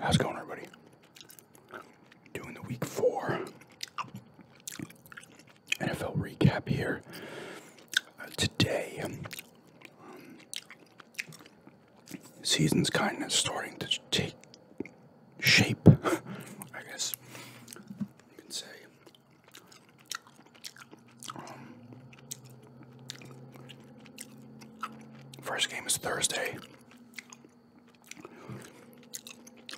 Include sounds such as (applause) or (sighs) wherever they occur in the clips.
How's it going, everybody? Doing the week four NFL recap here. Uh, today, um, Season's kind of starting to take shape, (laughs) I guess you can say. Um, first game is Thursday.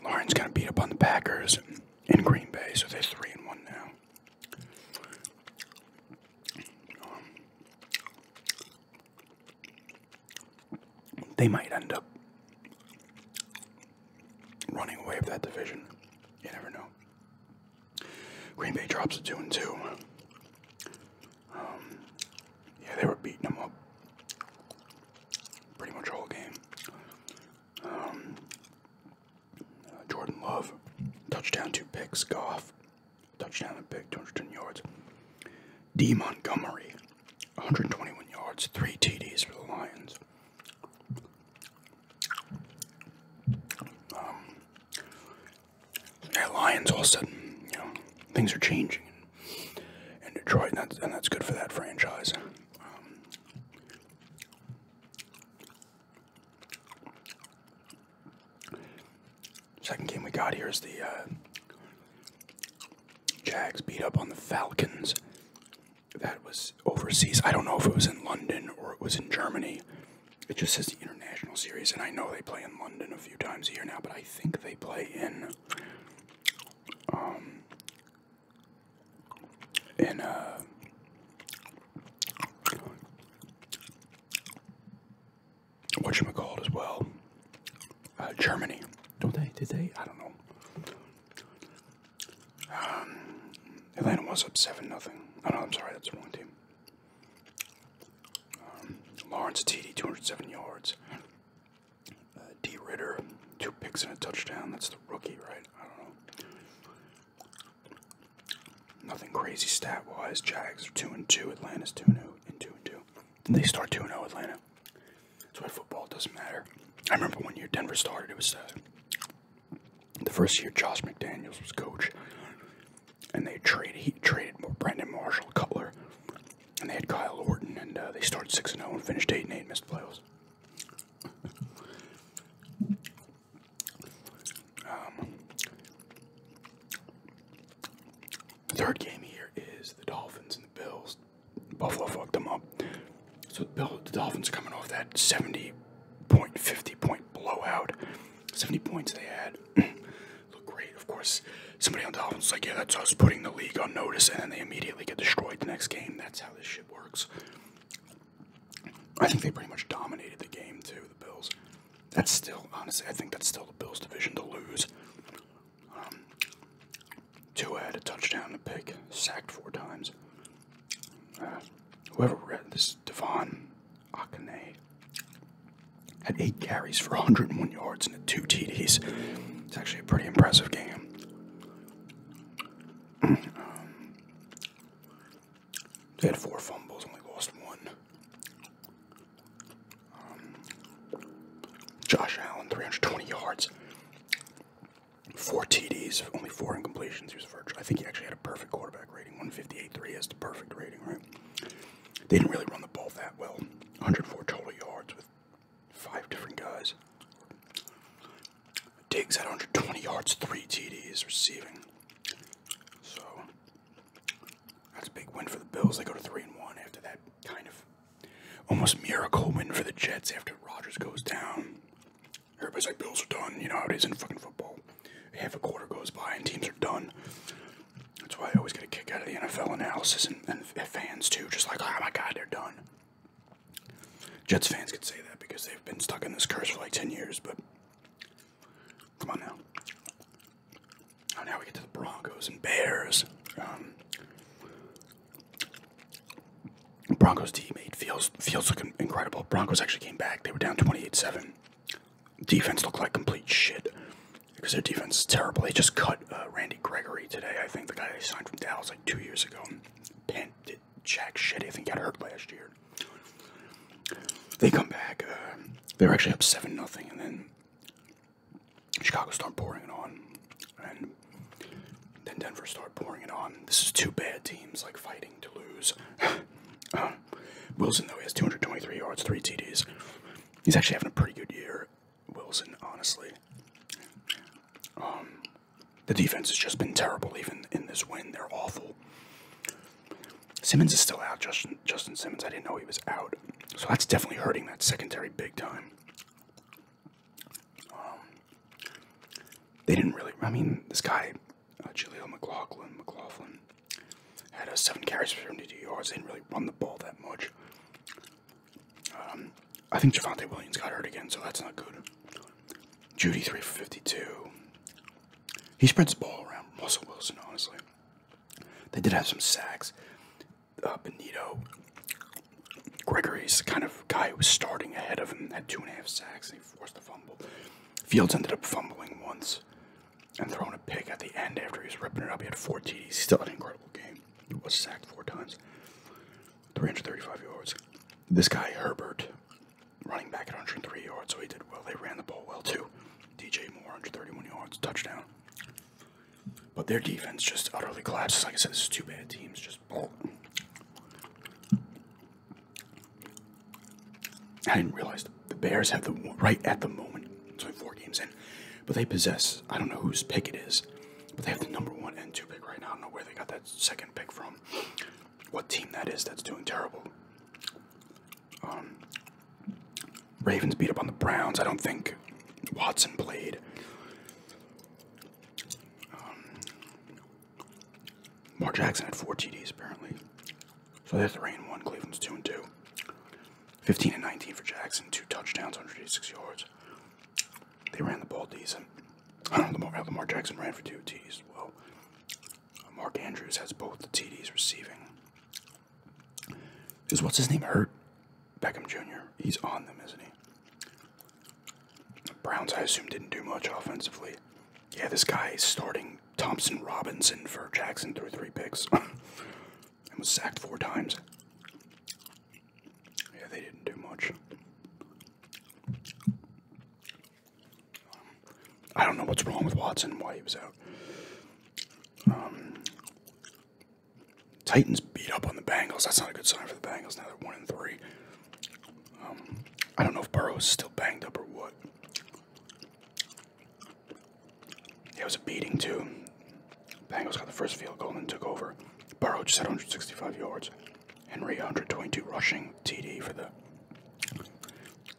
Lauren's gonna beat up on the Packers in Green Bay, so they're three and one now they might end up running away with that division. You never know. Green Bay drops to two and two. Um, yeah, they were beating them up pretty much all game. Um, Jordan Love, touchdown, two picks. Goff, touchdown and pick, 210 yards. D. Montgomery, 121 yards, three TDs for the Lions. Um, yeah, Lions all of a sudden, you know, things are changing in, in Detroit, and that's, and that's good for that franchise. Um, Second game we got here is the uh, Jags beat up on the Falcons. That was overseas. I don't know if it was in London or it was in Germany. It just says the international series, and I know they play in London a few times a year now, but I think they play in um, in uh, whatchamacallit as well. Uh, Germany. Don't they? Did they? I don't know. Um, Atlanta was up 7 nothing. Oh, no, I'm sorry. That's the wrong team. Um, Lawrence Lawrence TD, 207 yards. Uh, D. Ritter, two picks and a touchdown. That's the rookie, right? I don't know. Nothing crazy stat wise. Jags are two and two. Atlanta's two and zero oh, and two and two. And they start two and zero. Oh, Atlanta. That's why football doesn't matter. I remember when year Denver started. It was uh, the first year Josh McDaniels was coach, and they traded he traded Brandon Marshall, Cutler, and they had Kyle Orton, and uh, they started six and zero oh and finished eight and eight, missed playoffs the um, third game here is the Dolphins and the Bills. Buffalo fucked them up. So the, Dolphins are coming off that 70 point, 50 point blowout. 70 points they had. (clears throat) Look great. Of course, somebody on the Dolphins is like, yeah, that's us putting the league on notice, and then they immediately get destroyed the next game. That's how this shit works. I think they pretty much dominated the game, too, the Bills. That's still, honestly, I think that's still the Bills' division to lose. Um, two had a touchdown to pick, sacked four times. Uh, whoever read this, Devon Akane, had eight carries for 101 yards and two TDs. It's actually a pretty impressive game. (clears throat) Um, they had four fumbles, only lost one. Um, Josh Allen, 320 yards, four TDs, only four incompletions. He was virtual. I think he actually had a perfect quarterback rating, 158.3 is the perfect rating, right? They didn't really run the ball that well. 104 total yards with five different guys. Diggs had 120 yards, three TDs receiving. So that's a big win for the Bills. They go to three and one after that kind of almost miracle win for the Jets after Rogers goes down. Everybody's like, Bills are done. You know how it is in fucking football. Half a quarter goes by and teams are done. That's why I always get a kick out of the NFL analysis and fans too. Just like, oh my god, they're done. Jets fans could say that because they've been stuck in this curse for like 10 years, but come on now. Oh, now we get to the Broncos and Bears. Um, Broncos teammate Fields Fields looking incredible. Broncos actually came back. They were down 28-7. Defense looked like complete shit because their defense is terrible. They just cut uh, Randy Gregory today. I think the guy they signed from Dallas like two years ago. Pant did jack shit. I think got hurt last year. They come back. Uh, they were actually up seven nothing, and then Chicago started pouring it on, and then Denver started pouring it on. This is two bad teams like fighting to lose. (laughs) Uh, Wilson though he has 223 yards, three TDs. He's actually having a pretty good year, Wilson. Honestly, um, the defense has just been terrible. Even in this win, they're awful. Simmons is still out. Justin, Simmons, I didn't know he was out. So that's definitely hurting that secondary big time. Um, they didn't really, I mean, this guy, uh, Jaleel McLaughlin, McLaughlin, had a uh, seven carries for 72 yards. They didn't really run the ball that much. Um, I think Javante Williams got hurt again, so that's not good. Judy, three fifty two. He spreads the ball around. Russell Wilson, honestly. They did have some sacks. Uh, Benito Gregory's the kind of guy who was starting ahead of him had two and a half sacks and he forced a fumble. Fields ended up fumbling once and throwing a pick at the end after he was ripping it up. He had four TDs. Still an incredible game. He was sacked four times, 335 yards. This guy, Herbert, running back at 103 yards, so he did well. They ran the ball well too. DJ Moore, thirty-one yards, touchdown. But their defense just utterly collapses. Like I said, this is two bad teams. Just oh. I didn't realize the Bears have the right at the moment. It's only four games in, but they possess. I don't know whose pick it is, but they have the number one and two pick right now. I don't know where they got that second pick from. What team that is that's doing terrible? Um, Ravens beat up on the Browns. I don't think Watson played. Um, Mark Jackson had four TDs apparently. So they're three and one. Cleveland's two and two. 15 and 19 for Jackson, two touchdowns, 186 yards. They ran the ball decent. I don't know, how Lamar Jackson ran for two TDs well. Uh, Mark Andrews has both the TDs receiving. Is what's his name? Hurt Beckham Jr. He's on them, isn't he? Browns, I assume, didn't do much offensively. Yeah, this guy is starting Thompson Robinson for Jackson through three picks (laughs) and was sacked four times. Yeah, they didn't do much. I don't know what's wrong with Watson why he was out. Um, Titans beat up on the Bengals. That's not a good sign for the Bengals. Now they're one and three. Um, I don't know if Burrow's is still banged up or what. Yeah, it was a beating too. Bengals got the first field goal and took over. Burrow just had 165 yards. Henry 122 rushing TD for the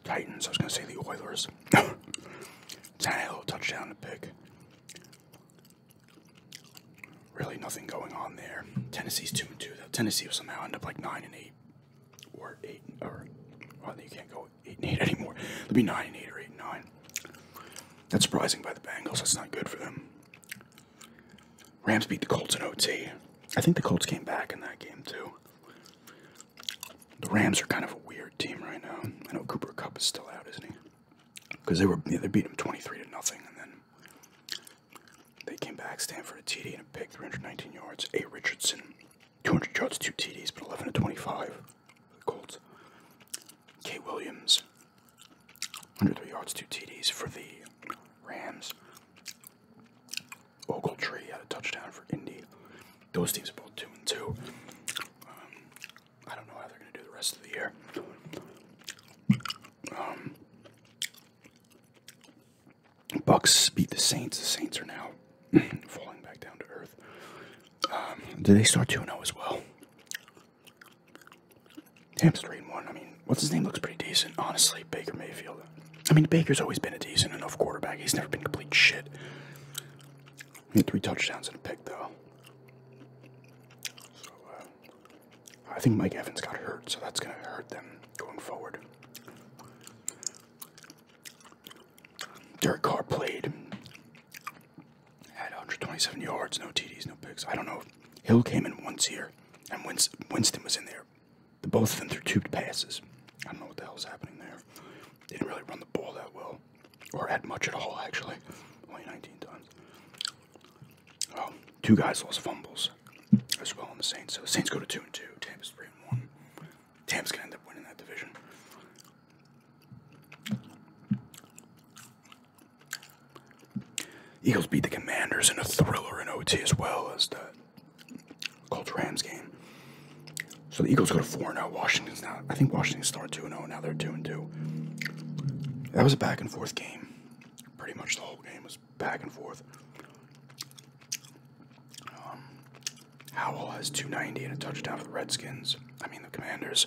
Titans. I was going to say the Oilers. (coughs) Tannehill touchdown to pick. Really nothing going on there. Tennessee's two and two though. Tennessee will somehow end up like nine and eight, or eight or well, you can't go eight and eight (laughs) anymore. It'll be nine and eight or eight nine. That's surprising by the Bengals. That's not good for them. Rams beat the Colts in OT. I think the Colts came back in that game too. The Rams are kind of a weird team right now. I know Cooper Cup is still out, isn't he? Because they were yeah, they beat him twenty three to nothing, and then they came back, Stanford a TD and a pick, three hundred nineteen yards. A Richardson, two hundred yards, two TDs, but eleven to twenty five. The Colts. K Williams, hundred three yards, two TDs for the Rams. Ogletree had a touchdown for Indy. Those teams are both two and two. Um, I don't know how they're going to do the rest of the year. Um, Bucks beat the Saints. The Saints are now (clears throat) falling back down to earth. Um, did they start 2 0 as well? Hamstring one. I mean, what's his name looks pretty decent, honestly. Baker Mayfield. I mean, Baker's always been a decent enough quarterback. He's never been complete shit. Need three touchdowns and a pick, though. Uh, I think Mike Evans got hurt, so that's going to hurt them going forward. Derek Carr played at 127 yards, no TDs, no picks. I don't know. Hill came in once here, and Winston was in there. The both of them threw two passes. I don't know what the hell's happening there didn't really run the ball that well, or add much at all, actually. Only 19 times. Um, two guys lost fumbles as well on the Saints. So the Saints go to 2 and 2. Tampa's 3 and 1. Tampa's going to end up winning that division. Eagles beat the Commanders in a thriller in OT as well as the Colts Rams game. So the Eagles go to 4 0. Washington's now, I think Washington's started 2 0. Now they're 2 2. That was a back and forth game. Pretty much the whole game was back and forth. Um, Howell has 290 and a touchdown for the Redskins. I mean, the Commanders.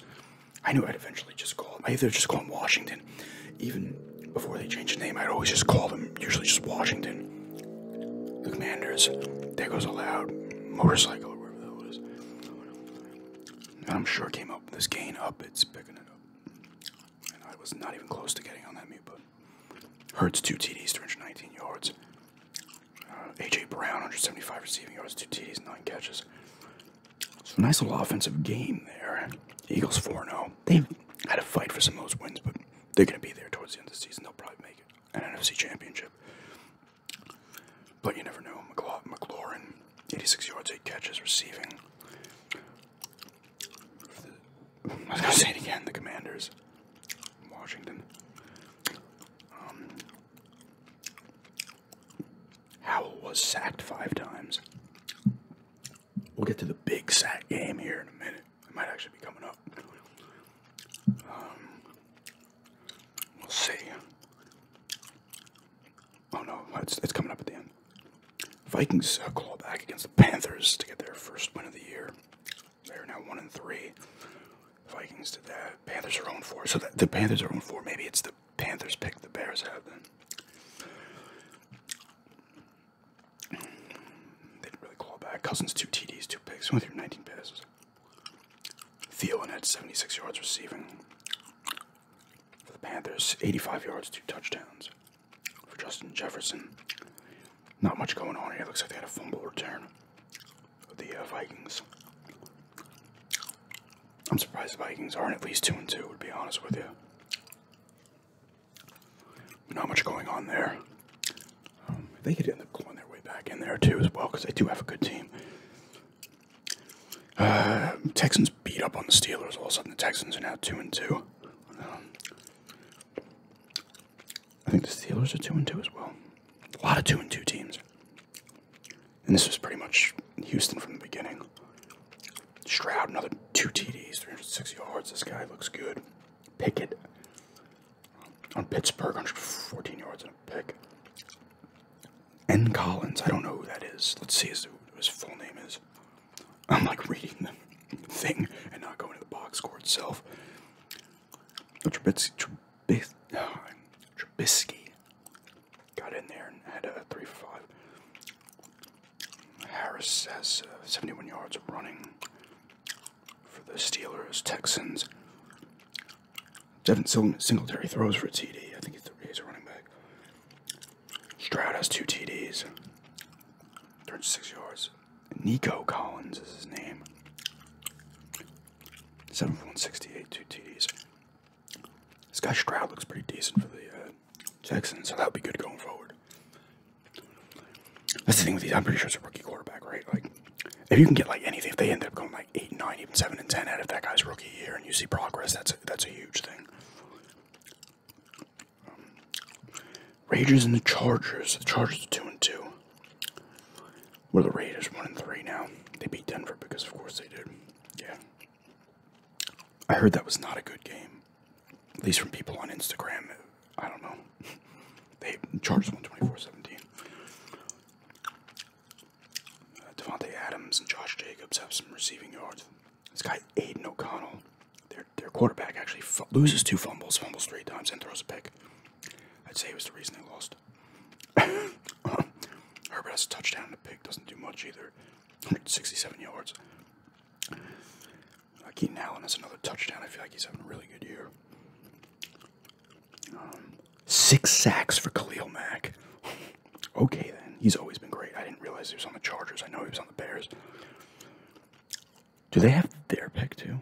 I knew I'd eventually just call them. I either just call them Washington. Even before they changed the name, I'd always just call them usually just Washington commanders, there goes a loud motorcycle I'm sure came up this gain up, it's picking it up. And I was not even close to getting on that mute, but Hurts two TDs, 319 yards. Uh, AJ Brown, 175 receiving yards, two TDs, nine catches. So nice little offensive game there. Eagles 4-0. They had a fight for some of those wins, but they're going to be there towards the end of the season. They'll probably make it an NFC championship. But you never know. McLaw McLaurin, 86 yards, 8 catches, receiving. The, I was going to say it again the Commanders, Washington. Um, Howell was sacked five times. We'll get to the big sack game here in a minute. It might actually be coming up. Um, we'll see. Oh no, it's, it's coming up at the end. Vikings uh, claw back against the Panthers to get their first win of the year. They are now one and three. Vikings did that. Panthers are on four. So the Panthers are on four. Maybe it's the Panthers pick the Bears out then. They didn't really claw back. Cousins two TDs, two picks, only through 19 passes. Theo and had 76 yards receiving for the Panthers, 85 yards, two touchdowns for Justin Jefferson. Not much going on here. It looks like they had a fumble return for the uh, Vikings. I'm surprised the Vikings aren't at least 2 and 2, to be honest with you. Not much going on there. Um, they could end up clawing their way back in there too, as well, because they do have a good team. Uh, Texans beat up on the Steelers. All of a sudden, the Texans are now two and two. Um, I think the Steelers are two and two as well. A lot of two and two teams, and this was pretty much Houston from the beginning. Stroud, another two TDs, 360 yards. This guy looks good. Picket on Pittsburgh, 114 yards and a pick. N. Collins, I don't know who that is. Let's see who his full name is. I'm like reading the (laughs) thing and not going to the box score itself. Trubisky, (sighs) Trubisky, got in there and had a 3 for 5. Harris has uh, 71 yards running for the Steelers, Texans. Devin Singletary throws for a TD. I think he's a running back. Stroud has two TDs, Turns six yards. Nico Collins is his name. 7 for 168, two TDs. This guy Stroud looks pretty decent for the uh, Texans, so that'll be good going forward. That's the thing with these. I'm pretty sure it's a rookie quarterback, right? Like, if you can get like anything, if they end up going like eight, nine, even seven and ten out of that guy's rookie year, and you see progress, that's a, that's a huge thing. Um, Rangers and the Chargers. The Chargers are two and two. Where the Raiders one and three now. They beat Denver because, of course, they did. Yeah. I heard that was not a good game, at least from people on Instagram. I don't know. (laughs) they charged 124.17. Uh, Adams and Josh Jacobs have some receiving yards. This guy Aiden O'Connell, their their quarterback, actually loses two fumbles, fumbles three times, and throws a pick. I'd say it was the reason they lost. (laughs) Herbert has a touchdown and a pick, doesn't do much either. 167 yards. Uh, Allen has another touchdown. I feel like he's having a really good year six sacks for Khalil Mack. okay, then. He's always been great. I didn't realize he was on the Chargers. I know he was on the Bears. Do they have their pick, too?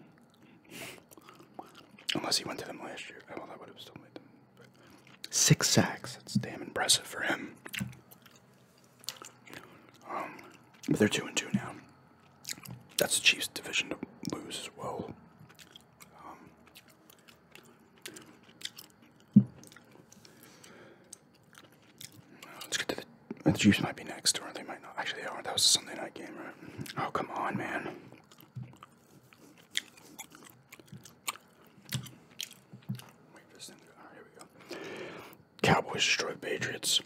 Unless he went to them last year. I oh, that would have still made them. six sacks. That's damn impressive for him. Um, but they're 2 and 2 now. That's the Chiefs' division to lose as well. let's get to the, the Chiefs might be next, or they might not. Actually, they are. That was a Sunday night game, right? Oh, come on, man. Cowboys destroy Patriots.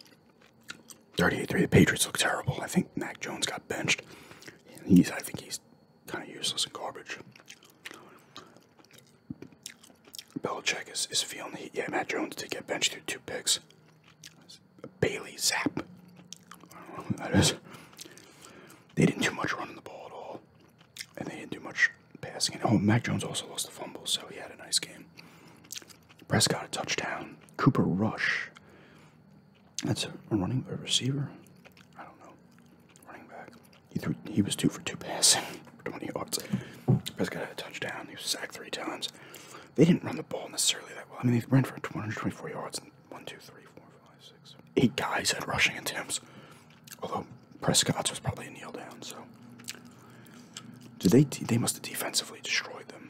38-3. The Patriots look terrible. I think Mac Jones got benched. He's I think he's kind of useless and garbage. Belichick is, is feeling the heat. Yeah, Matt Jones did get benched through two picks. Bailey Zap. I don't know who that is. They didn't do much running the ball at all. And they didn't do much passing. And oh, Mac Jones also lost the fumble, so he had a nice game. Prescott a touchdown. Cooper Rush that's a running receiver. I don't know. Running back. He threw. He was two for two passing (laughs) 20 yards. Prescott had a touchdown. He was sacked three times. They didn't run the ball necessarily that well. I mean, they ran for 224 yards and four, five, six. Eight guys had rushing attempts. Although Prescott's was probably a kneel down. So, did they? They must have defensively destroyed them.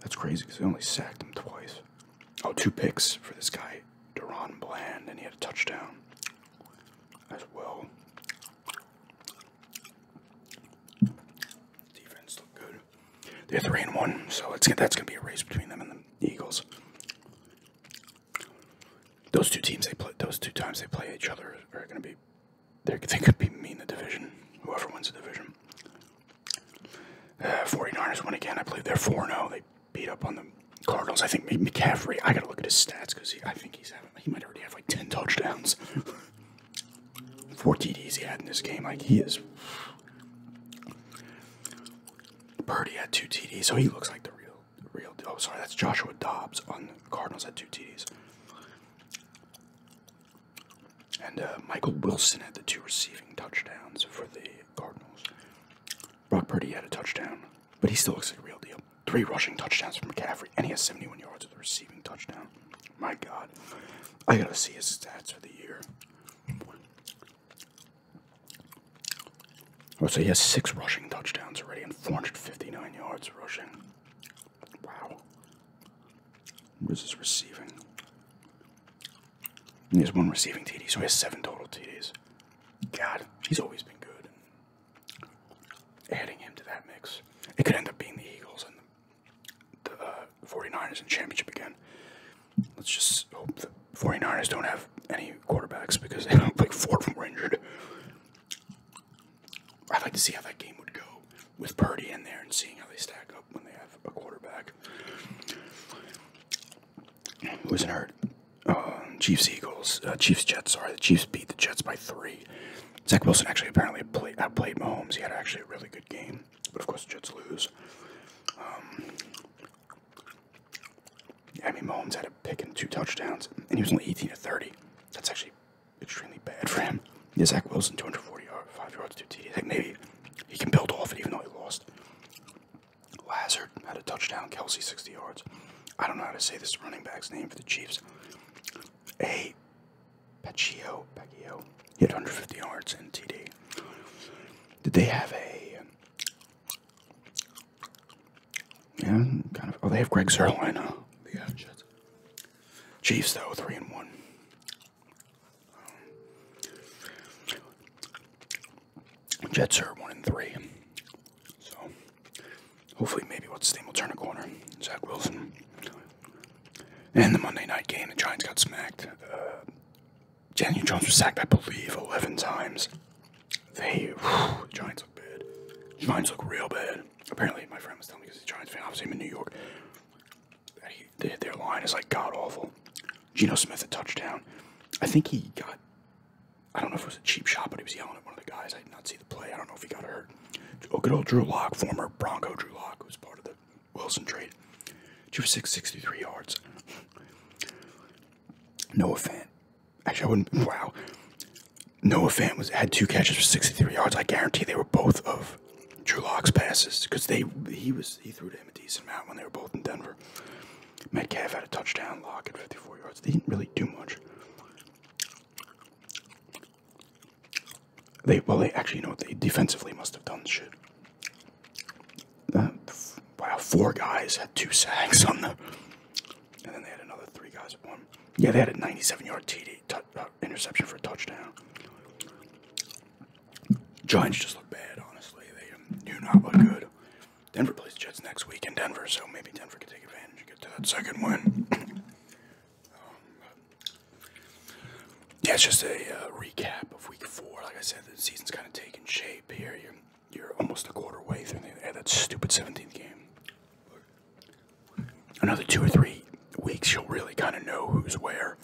That's crazy because they only sacked him twice. Oh, two picks for this guy, Duron Bland, and he had a touchdown as well. Defense looked good. They're three and one, so let's get that's gonna be a race between them and the Eagles. Those two teams they play, those two times they play each other are gonna be they could be mean the division, whoever wins the division. Uh, 49ers win again. I believe they're 4 0. They beat up on the Cardinals. I think McCaffrey, I got to look at his stats because I think he's having, he might already have like 10 touchdowns. (laughs) Four TDs he had in this game. Like, he is. Purdy had two TDs, so he looks like the real, the real. Oh, sorry, that's Joshua Dobbs on Cardinals had two TDs and uh, Michael Wilson had the two receiving touchdowns for the Cardinals. Brock Purdy had a touchdown, but he still looks like a real deal. Three rushing touchdowns for McCaffrey, and he has 71 yards of receiving touchdown. My God, I gotta see his stats for the year. Oh, so he has six rushing touchdowns already and 459 yards rushing. Wow. Where's his receiving? He has one receiving TD, so he has seven total TDs. God, he's always been good. adding him to that mix, it could end up being the Eagles and the, the uh, 49ers in championship again. Let's just hope the 49ers don't have any quarterbacks because they don't play four of them injured. I'd like to see how that game would go with Purdy in there and seeing how they stack up when they have a quarterback who's hurt. Um, Chiefs Eagles, uh, Chiefs Jets. Sorry, the Chiefs beat the Jets by three. Zach Wilson actually apparently played, outplayed Mahomes. He had actually a really good game, but of course Jets lose. Um, yeah, Mahomes had a pick and two touchdowns, and he was only 18 to 30. That's actually extremely bad for him. Yeah, Zach Wilson, 240 yards, five yards, two TD. Like maybe he can build off it, even though he lost. Lazard had a touchdown. Kelsey, 60 yards. I don't know how to say this running back's name for the Chiefs. A. Paccio, Paccio. He had 150 yards and TD. Did they have a? Yeah, kind of. Oh, they have Greg Zerline. Huh? Chiefs though three and one. Jets are one and three. So hopefully maybe what's the name will turn a corner. Zach Wilson. And the Monday night game, the Giants got smacked. Uh, Daniel Jones was sacked, I believe, eleven times. They the Giants look bad. Giants look real bad apparently my friend was telling me because he's a Giants fan, obviously him in New York. they, their line is like god awful. Geno Smith a touchdown. I think he got. I don't know if it was a cheap shot, but he was yelling at one of the guys. I did not see the play. I don't know if he got hurt. Oh, good old Drew Lock, former Bronco Drew Lock, who was part of the Wilson trade. Drew six sixty three yards. (laughs) No offense. Actually, I wouldn't. (laughs) Wow. Noah Fan was had two catches for 63 yards. I guarantee they were both of Drew Lock's passes because they he was he threw to him a decent amount when they were both in Denver. Metcalf had a touchdown. lock at 54 yards. They didn't really do much. They well they actually you know what they defensively must have done shit. Uh, wow, four guys had two sacks on them, and then they had another three guys Yeah, they had a 97-yard TD t interception for a touchdown. Giants just look bad, honestly. They do not look good. Denver plays Jets next week in Denver, so maybe Denver can take advantage and get to that second win. (clears throat) Um, yeah, it's just a uh, recap of week four. Like I said, the season's kind of taking shape here. You're, almost a quarter way through. They had that stupid 17th game another two or three weeks, you'll really kind of know who's where.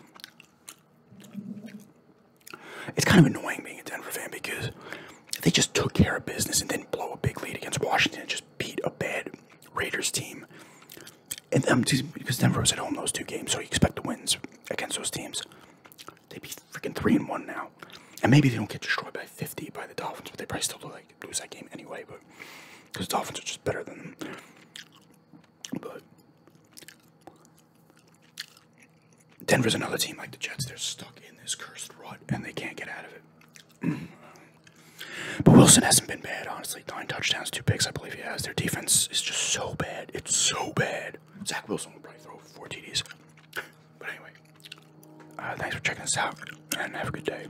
It's kind of annoying being a Denver fan because they just took care of business and didn't blow a big lead against Washington and just beat a bad Raiders team. And because Denver was at home those two games, so you expect the wins against those teams. They'd be freaking three and one now. And maybe they don't get destroyed by 50 by the Dolphins, but they probably still look like lose that game anyway, but because Dolphins are just better than them. But Denver's another team like the Jets. They're stuck in this cursed rut and they can't get out of it. (clears throat) but Wilson hasn't been bad, honestly. Nine touchdowns, two picks, I believe he has. Their defense is just so bad. It's so bad. Zach Wilson will probably throw four TDs. But anyway, uh, thanks for checking us out and have a good day.